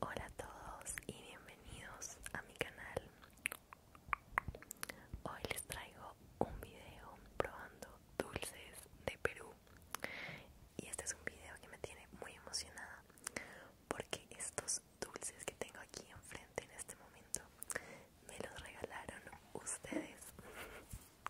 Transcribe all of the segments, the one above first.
Hola a todos y bienvenidos a mi canal. Hoy les traigo un video probando dulces de Perú. Y este es un video que me tiene muy emocionada porque estos dulces que tengo aquí enfrente en este momento me los regalaron ustedes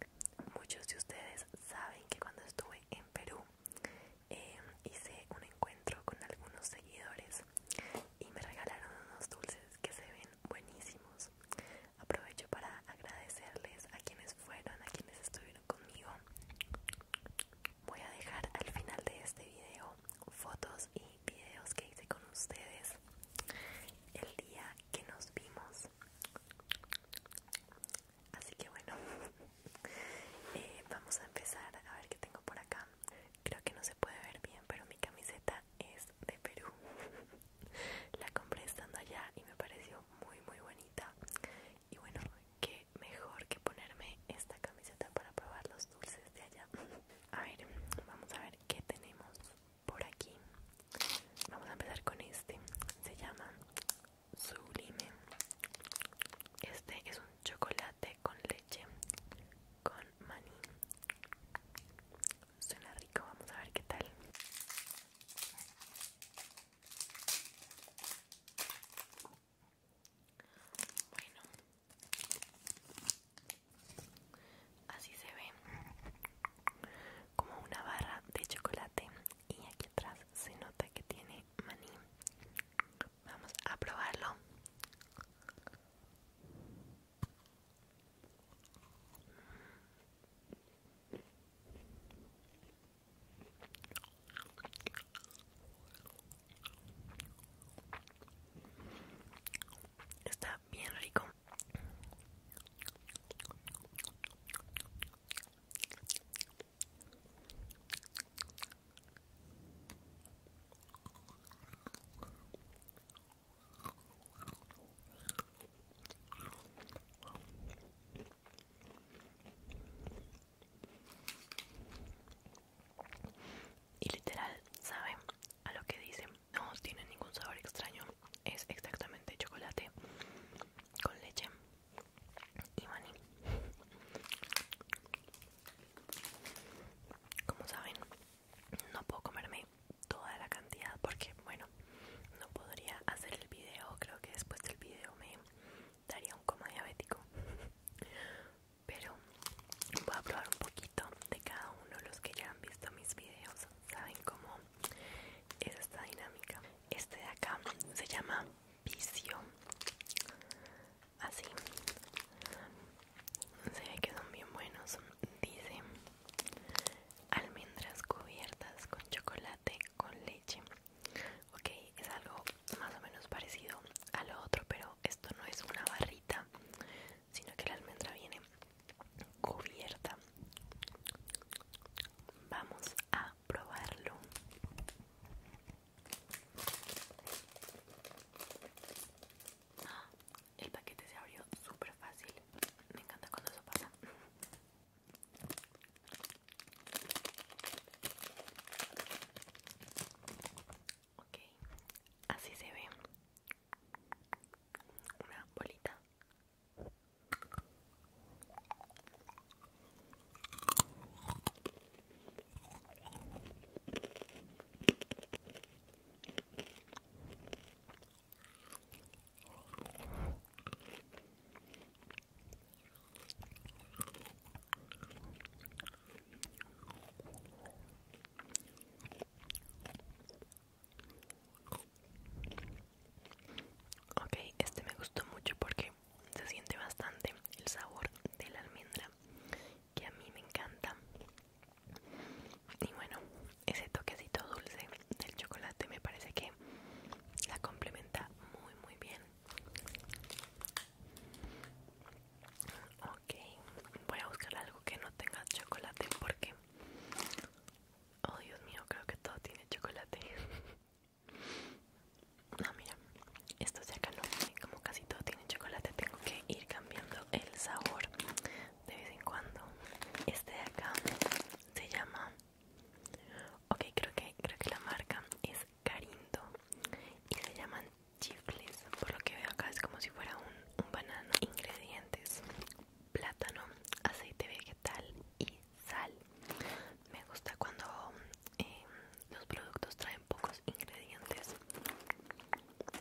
Muchos de ustedes saben que cuando estuve en Perú em, hice un encuentro con algunos seguidores y me regalaron unos dulces que se ven buenísimos. Aprovecho para agradecerles a quienes fueron, a quienes estuvieron conmigo. Voy a dejar al final de este video fotos y videos que hice con ustedes el día que nos vimos. Así que bueno, eh, vamos a empezar a ver qué tengo por acá. Creo que no se puede ver bien, pero mi camiseta es de Perú. La compré estando allá y me pareció muy muy bonita. Y bueno, qué mejor que ponerme esta camiseta para probar los dulces de allá. A ver, vamos a ver qué tenemos por aquí vamos a empezar con este se llama sublime este es un chocolate con leche con maní suena rico vamos a ver qué tal bueno Así se ve como una barra de chocolate y aquí atrás se nota que tiene maní. Vamos a probarlo. Está bien rico. Y literal, ¿saben? a lo que dicen. No tiene ningún sabor extraño. Es exactamente chocolate con leche y maní. Como saben, no puedo comerme toda la cantidad porque, bueno, no podría hacer el video. Creo que después del video me daría un coma diabético. Pero voy a probar un poquito de cada uno de los que ya han visto mis videos saben cómo es esta dinámica este de acá se llama vicio así se ve que son bien buenos dice almendras cubiertas con chocolate con leche ok es algo más o menos parecido a lo otro pero esto no es una barrita sino que la almendra viene cubierta vamos a probarlo ah, el paquete se abrió súper fácil me encanta cuando eso pasa Okay, así se ve una bolita Ok, este me gustó mucho porque se siente bastante el sabor de la almendra que a mí me encanta. Y bueno, ese toquecito dulce del chocolate me parece que la complementa muy muy bien. Ok, voy a buscar algo que no tenga chocolate porque... Oh Dios mío, creo que todo tiene chocolate. No, ah, mira, esto de acá no, como casi todo tiene chocolate, tengo que ir cambiando el sabor de vez en cuando. Este de acá se llama... Ok, creo que, creo que la marca es Carindo y se llaman chifles por lo que veo acá es como si fuera un, un banano ingredientes plátano aceite vegetal y sal me gusta cuando em, los productos traen pocos ingredientes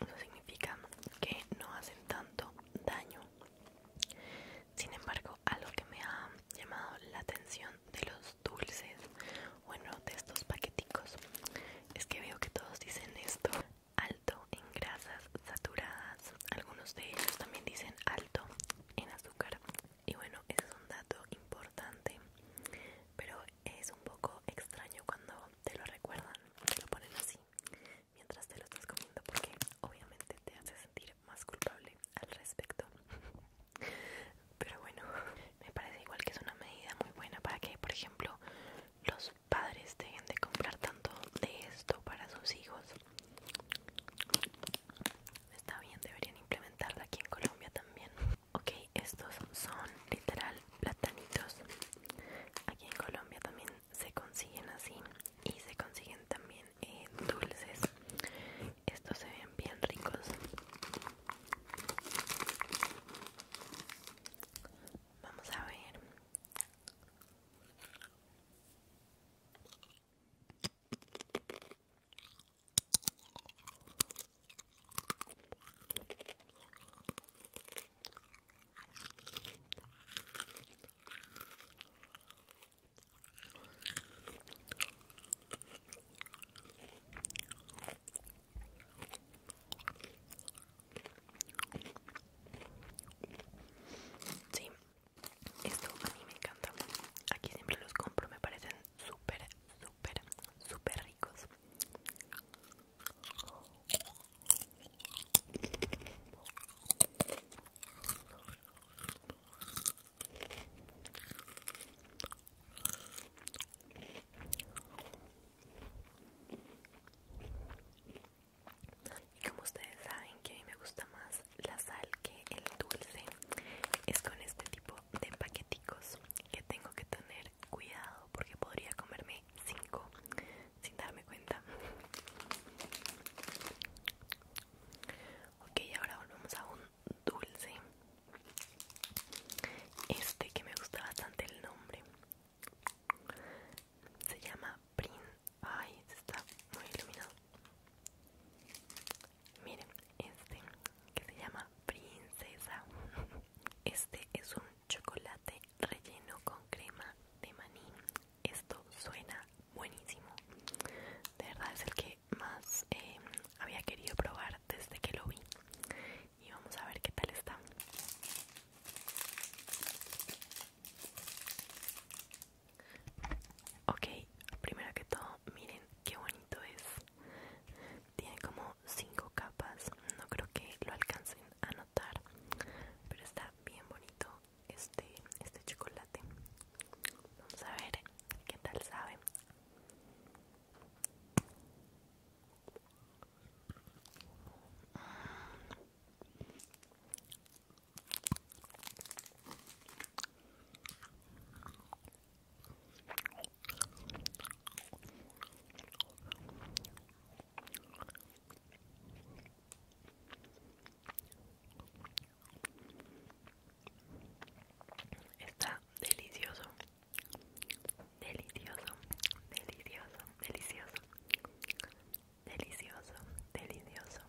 eso significa que no hacen tanto daño sin embargo algo que me ha llamado la atención de los dulces bueno de estos paqueticos es que veo que todos dicen esto alto en grasas saturadas, algunos de ellos también dicen alto en azúcar y bueno, es un dato importante, pero es un poco extraño cuando te lo recuerdan, te lo ponen así mientras te lo estás comiendo porque obviamente te hace sentir más culpable al respecto. Pero bueno, me parece igual que es una medida muy buena para que, por ejemplo, los padres deben de comprar tanto de esto para sus hijos. Está bien, deberían implementarlo aquí en Colombia también. Ok, estos son literal platanitos. Aquí en Colombia también se consiguen así y se consiguen también eh, dulces. Estos se ven bien ricos. Vamos a ver. Sí, esto a mí me encanta. Aquí siempre los compro, me parecen súper, súper, súper ricos. Y como ustedes saben que a mí me gusta más la sal que el dulce, es con este tipo de paqueticos que tengo que tener cuidado porque podría comerme 5 sin darme cuenta. Ok, ahora volvemos a un dulce. Este que me gusta bastante el nombre. Se llama Prin... Ay, este está muy iluminado. Miren, este que se llama Princesa. Este es un chocolate relleno con crema de maní. Esto suena buenísimo. De verdad es el que más eh, había querido probar desde que lo vi y vamos a ver qué tal está. Ok, primero que todo, miren qué bonito es. Tiene como 5 capas, no creo que lo alcancen a notar, pero está bien bonito este, este chocolate. Vamos a ver qué tal sabe. Está delicioso. Delicioso, delicioso, delicioso. Delicioso, delicioso.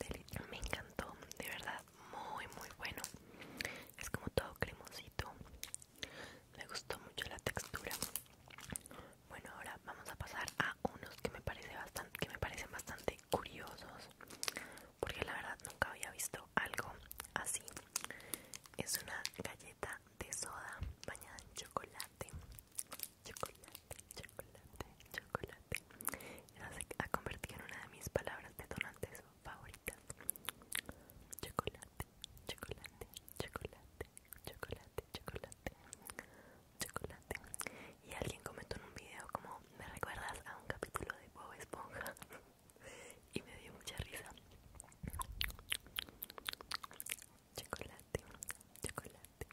Delicioso Me encantó, de verdad, muy, muy bueno. Es como todo cremosito. Me gustó mucho la textura. Bueno, ahora vamos a pasar a unos que me, parece bastante, que me parecen bastante curiosos. Porque la verdad nunca había visto algo así es una galleta de soda bañada en chocolate. Chocolate, chocolate, chocolate. Esa se ha convertido en una de mis palabras detonantes favoritas. Chocolate, chocolate, chocolate, chocolate, chocolate, chocolate. Y alguien comentó en un video como me recuerdas a un capítulo de Bob Esponja. y me dio mucha risa. Chocolate, chocolate,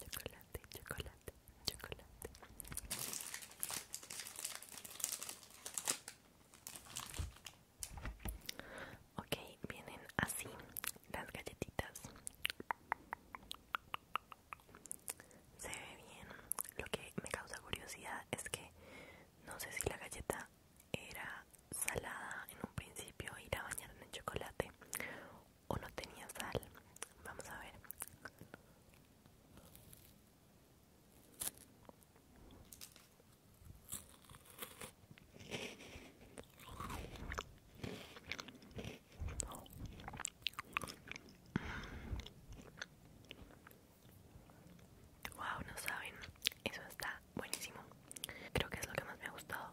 chocolate, chocolate, chocolate. Ok, vienen así las galletitas. Se ve bien. Lo que me causa curiosidad es que no sé si la galleta era salada en un principio Ir a bañar en chocolate o no tenía sal. Vamos a ver. Wow, no saben, eso está buenísimo. Creo que es lo que más me ha gustado.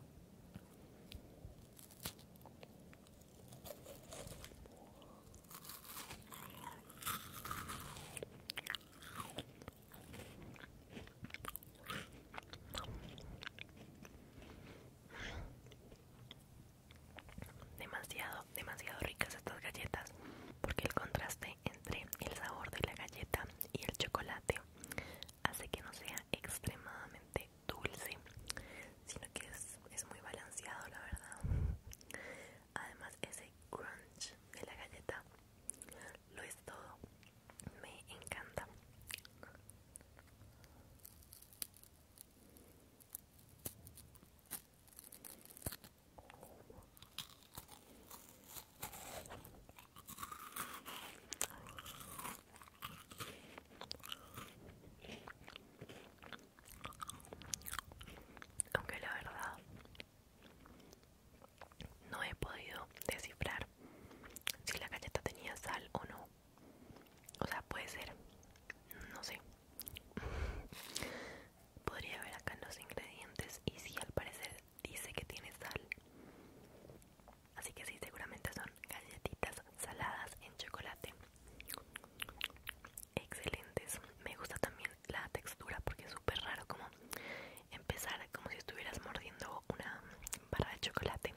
Demasiado, demasiado ricas estas galletas porque el contraste es entre el sabor de la galleta y el chocolate hace que no sea extremadamente dulce sino que es, muy balanceado la verdad además ese crunch de la galleta lo es todo me encanta aunque la verdad no he podido descifrar si la galleta tenía sal o no. O sea, puede ser. No sé. Podría ver acá los ingredientes y si al parecer dice que tiene sal. Así que sí, seguramente son galletitas saladas en chocolate. Excelentes. Me gusta también la textura porque es súper raro como empezar como si estuvieras mordiendo una barra de chocolate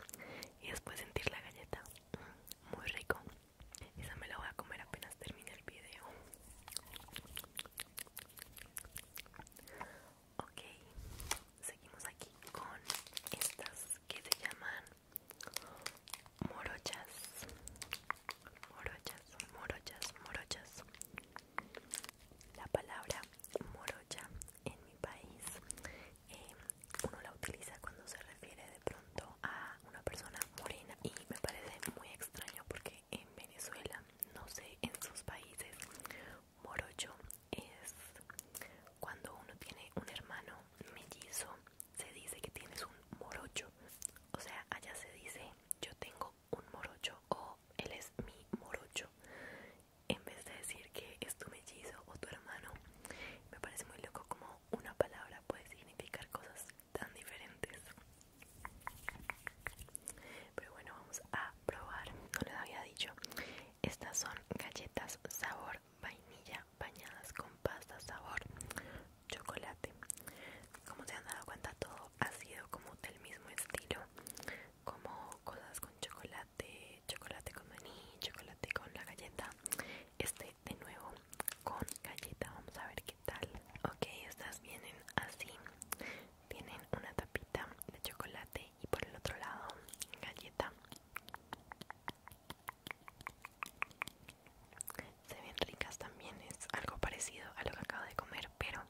y después sentir la galleta. Mm, muy rico. Esa me la voy a comer apenas termine el video. Ok, seguimos aquí con estas que se llaman morochas, morochas, morochas, morochas. La palabra morocha en mi país eh, uno la utiliza cuando se refiere de pronto a una persona morena y me parece muy extraño porque en Venezuela, no sé, en sus países. Morocho es cuando uno tiene un hermano mellizo, se dice que tienes un morocho. O sea, allá se dice yo tengo un morocho o él es mi morocho. En vez de decir que es tu mellizo o tu hermano, me parece muy loco como una palabra puede significar cosas tan diferentes pero bueno vamos a probar no les había dicho estas son galletas sabor vainilla bañadas con pasta sabor chocolate como se han dado cuenta todo ha sido como del mismo estilo como cosas con chocolate chocolate con maní chocolate con la galleta este de nuevo con galleta vamos a ver qué tal ok estas vienen así tienen una tapita de chocolate y por el otro lado galleta se ven ricas también es algo parecido a lo que acabo de comer pero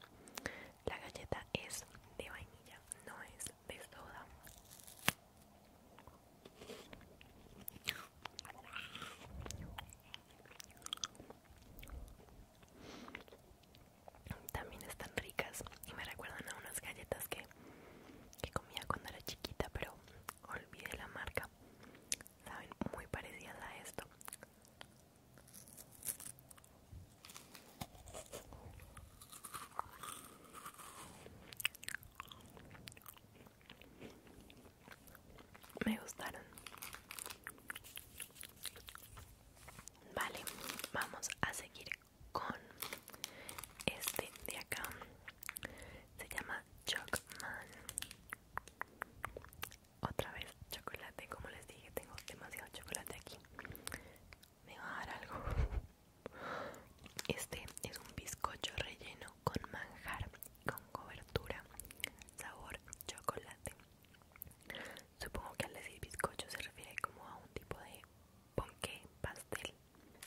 la galleta es de vainilla no es de soda también están ricas y me recuerdan a unas galletas que, que comía cuando era chiquita, pero olvidé la marca. Saben muy parecidas a esto me gustaron vale vamos a seguir con este de acá se llama Chocman otra vez chocolate como les dije tengo demasiado chocolate aquí me va a dar algo este es un bizcocho relleno con manjar con cobertura sabor chocolate. Supongo que al decir bizcocho se refiere como a un tipo de ponqué pastel.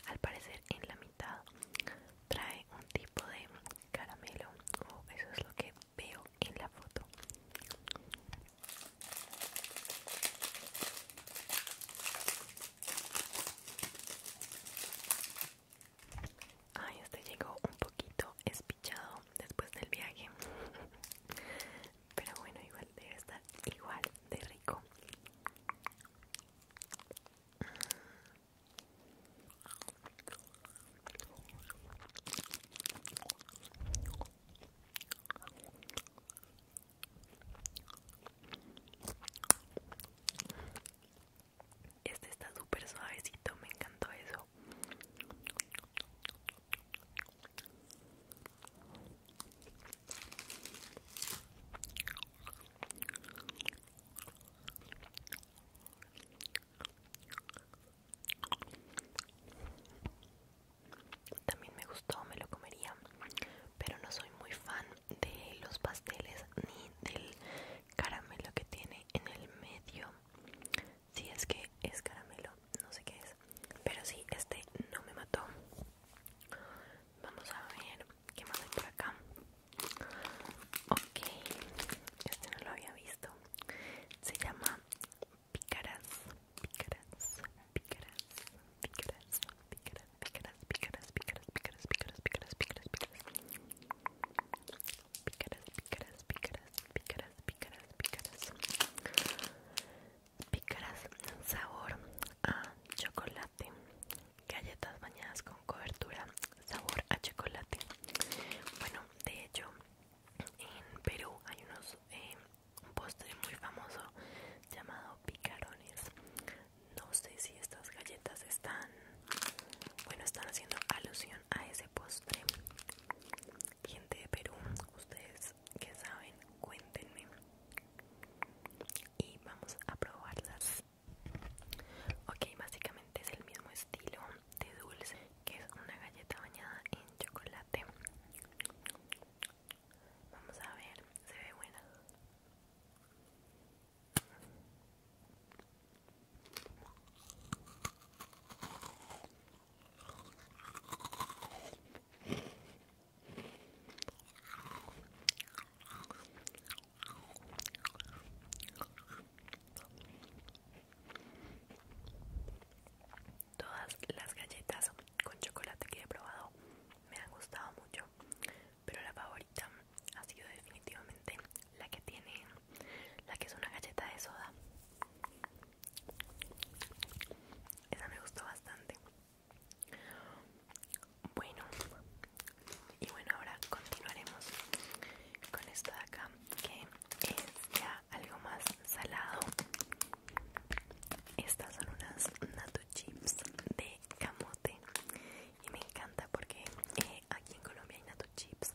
Al parecer en la mitad trae un tipo de caramelo o oh, eso es lo que veo en la foto. Ay, este llegó un poquito espichado después del viaje. Pero bueno, igual debe estar igual de rico. Este está súper suavecito, me encantó eso. También me gustó, me lo comería, pero no soy muy fan de los pasteles ni del caramelo que tiene en el medio. Si es que es caramelo, no sé qué es. Pero sí, este no me mató. Vamos a ver qué más hay por acá. Ok, este no lo había visto. Se llama picaras picaras pícaras, pícaras, pícaras, pícaras, pícaras, pícaras, pícaras, pícaras, pícaras, pícaras, pícaras. Picaras, picaras, picaras, picaras, picaras, picaras Picaras sabor a chocolate. Galletas bañadas con cobertura, sabor a chocolate. Bueno, de hecho, en Perú hay unos eh, un postre muy famoso llamado picarones. No sé si estas galletas están, bueno, están haciendo alusión a ese postre. Gente de Perú, ustedes que saben, cuéntenme. Y vamos a probarlas. Ok, básicamente es el mismo estilo de dulce, que es una galleta bañada en chocolate. Vamos a ver, se ve buena. Todas las galletas con chocolate que he probado me han gustado mucho pero la favorita ha sido definitivamente la que tiene la que es una galleta de soda esa me gustó bastante bueno y bueno ahora continuaremos con esta de acá que es ya algo más salado estas son unas natu chips de camote y me encanta porque eh, aquí en Colombia hay nato chips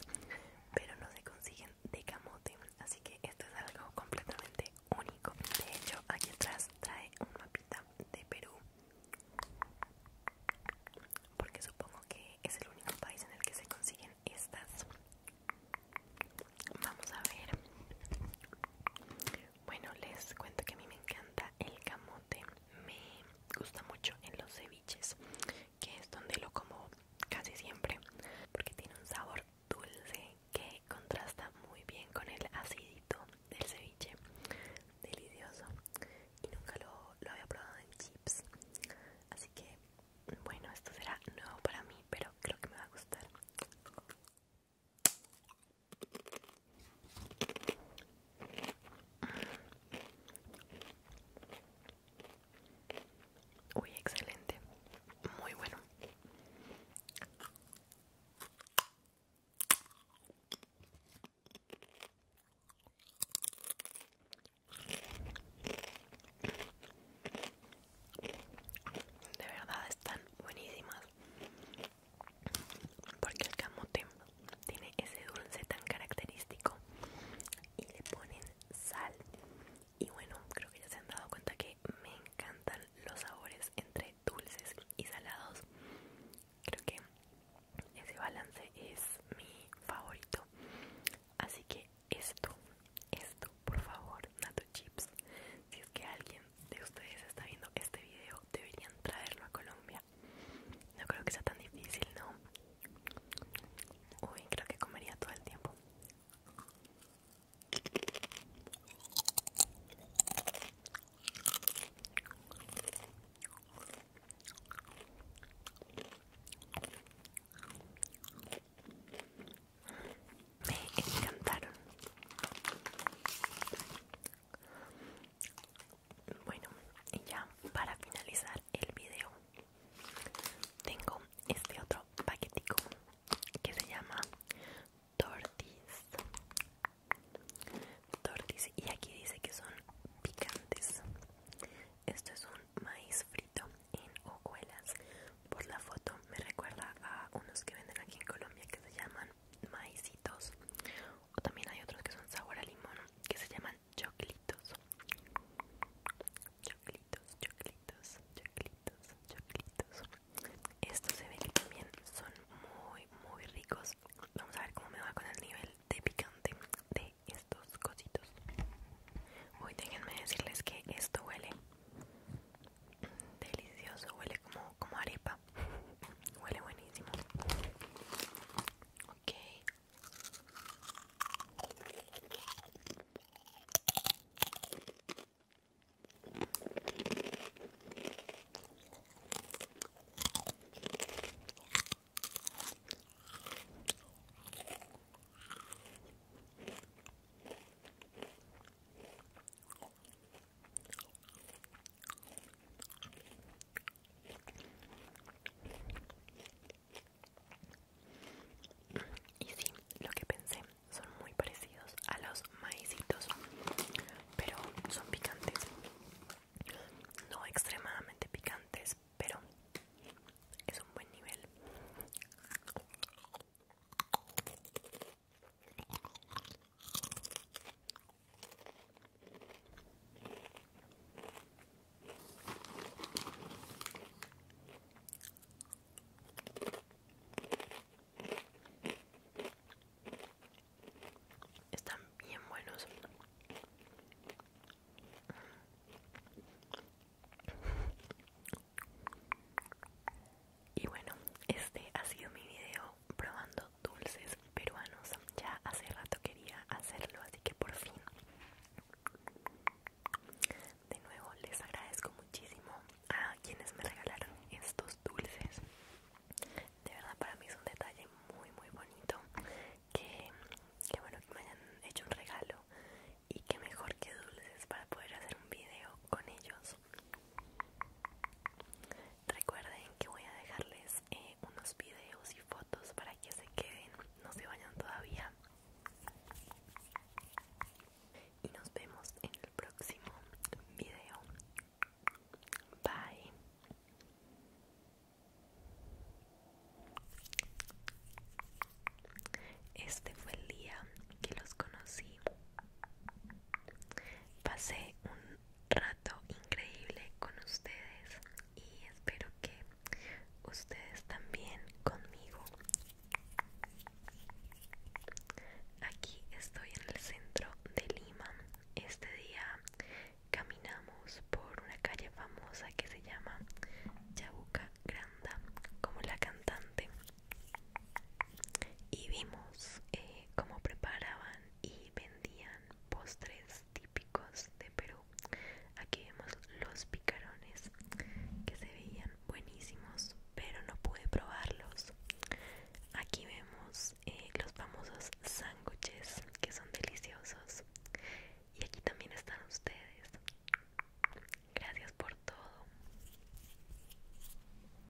pero no se consiguen de camote así que esto es algo completamente único de hecho aquí atrás trae un mapita de Perú porque supongo que es el único país en el que se consiguen estas vamos a ver bueno les cuento que a mí me encanta el camote, me gusta mucho en los ceviches, que es donde lo como casi siempre, porque tiene un sabor dulce que contrasta muy bien con el acidito del ceviche, delicioso. Y nunca lo, lo había probado en chips, así que bueno, esto será nuevo para mí, pero creo que me va a gustar. Uy, excelente. Muy bueno. De verdad están buenísimas porque el camote tiene ese dulce tan característico y le ponen sal y bueno creo que ya se han dado cuenta que me encantan los sabores entre dulces y salados creo que ese balance es mi favorito así que esto esto por favor nato chips si es que alguien de ustedes está viendo este video deberían traerlo a Colombia no creo que sea tan difícil, ¿no? Uy, creo que comería todo el tiempo. Me encantaron. Bueno, y ya para finalizar el video, tengo este otro paquetico que se llama Tortis. Tortis, y aquí dice que son picantes. Esto es un maíz frito en hojuelas. Por la foto me recuerda a unos que venden aquí en Colombia que se llaman maicitos también hay otros que son sabor a limón que se llaman choclitos choclitos choclitos choclitos choclitos estos se ven que son muy muy ricos vamos a ver cómo me va con el nivel de picante de estos cositos uy déjenme decirles que esto huele delicioso huele como como arepa Huele buenísimo. Ok. Y sí, lo que pensé, son muy parecidos a los maicitos, pero son picantes. No extremadamente picantes, pero es un buen nivel. Están bien buenos. Y bueno, este ha sido mi video probando dulces peruanos. Ya hace rato quería hacerlo, así que por fin. De nuevo, les agradezco muchísimo a quienes me regalaron estos dulces. De verdad, para mí es un detalle muy, muy bonito. Que, que bueno que me hayan hecho un regalo. Y que mejor que dulces para poder hacer un video con ellos. Recuerden que voy a dejarles eh, unos videos y fotos para que se queden, no se vayan todavía. Y nos vemos en el próximo video. Bye. Este fue el día que los conocí. Pasé un rato increíble con ustedes y espero que ustedes también conmigo. Aquí estoy en el centro de Lima. Este día caminamos por una calle famosa que se llama Chabuca Granda, como la cantante. Y vimos eh, cómo preparaban y vendían postres típicos de Perú. Aquí vemos los picarones que se veían buenísimos, pero no pude probarlos. Aquí vemos eh, los famosos sándwiches que son deliciosos. Y aquí también están ustedes. Gracias por todo.